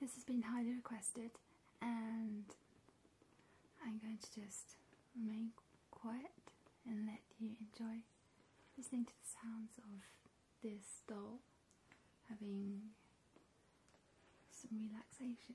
This has been highly requested and I'm going to just remain quiet and let you enjoy listening to the sounds of this doll having some relaxation.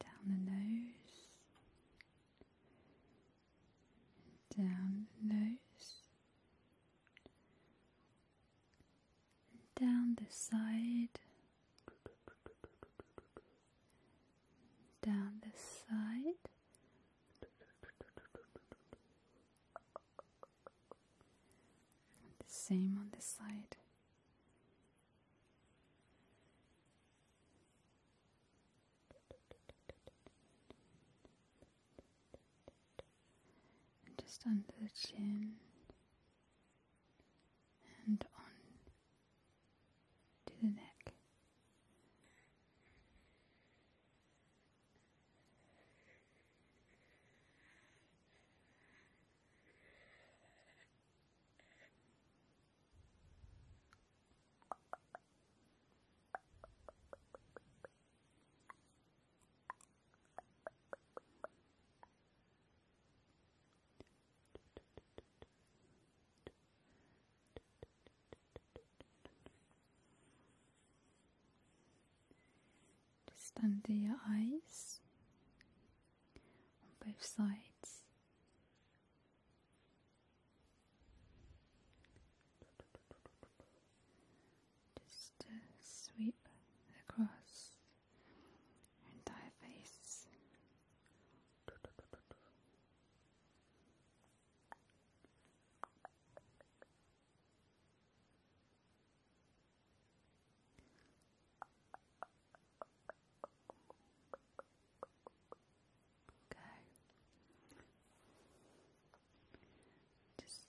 Down the nose, down the nose, down the side, down the side, the same on the side just under the chin and on to the neck. Just under your eyes on both sides. Just sweep across your entire face. Okay. Just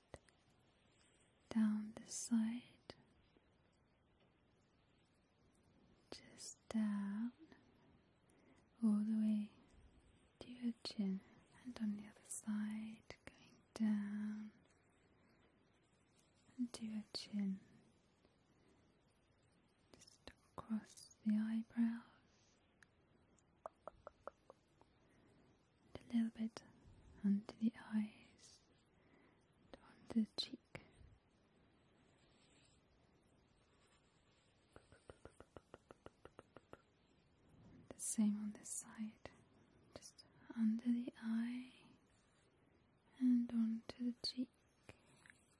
down the side. Just down all the way to your chin and on the other side going down and to your chin. Just across the eyebrows a little bit under the eyes and onto the cheek. The same on this side, just under the eye and onto the cheek.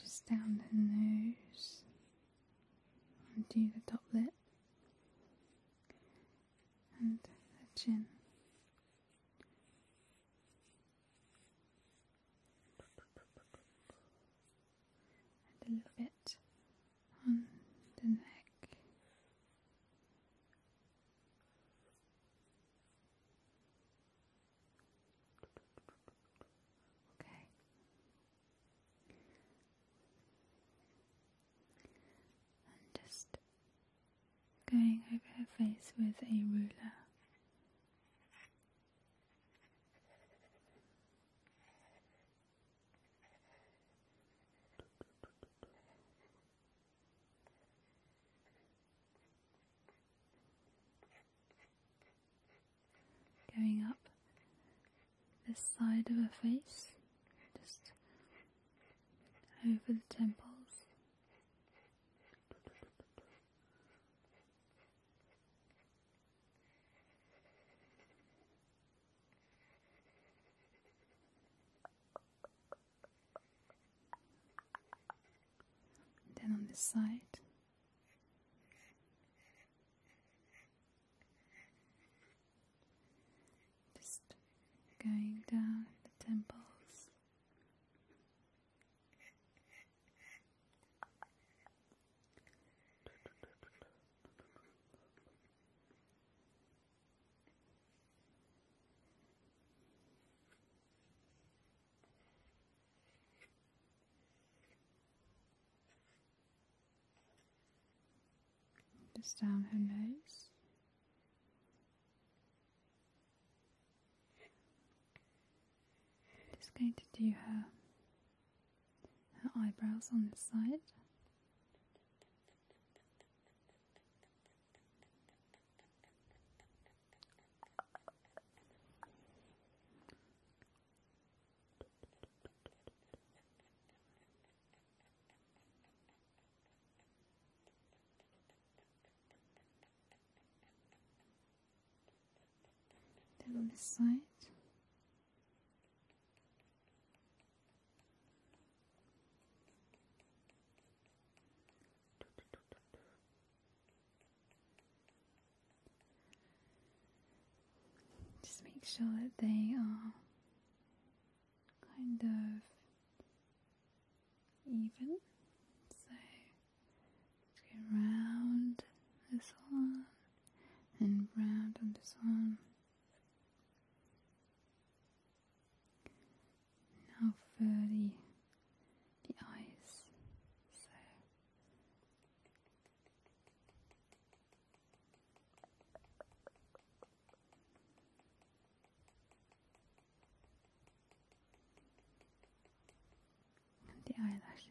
Just down the nose and do the top lip and the chin. And a little bit on the neck. Okay. And just going over her face with a ruler. Going up this side of her face, just over the temples. Then on the side. Just going down the temples. Just down her nose. Just going to do her her eyebrows on this side. Down this side. Just make sure that they are kind of even. So round this one and round on this one. Now for the, the eyes. and the eyelashes.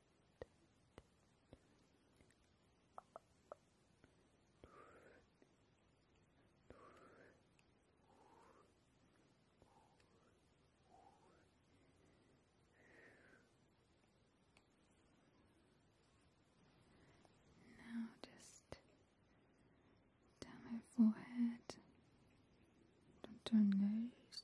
now just down her forehead, down her nose,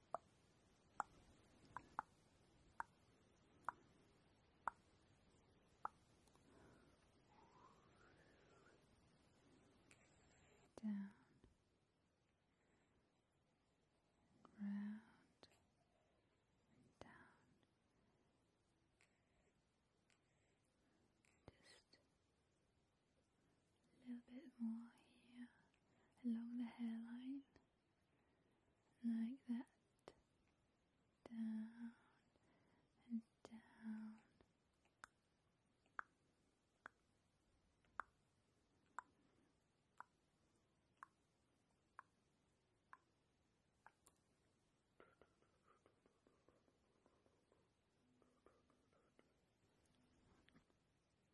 down round down just a little bit more here along the hairline like that, down and down.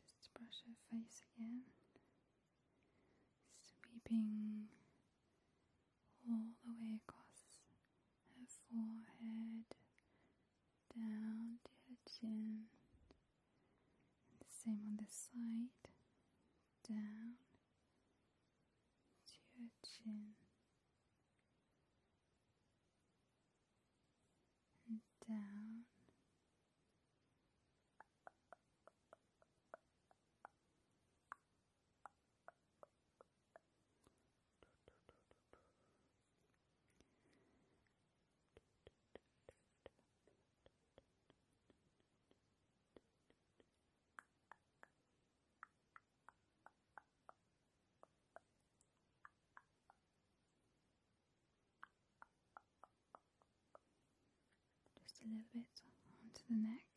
just brush her face again, sweeping all the way across her forehead, down to her chin. the same on the side, down to her chin and down. Just a little bit onto the neck,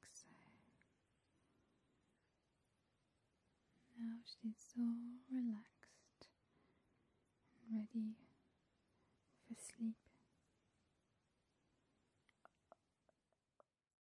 like so. Now she's all relaxed and ready for sleep.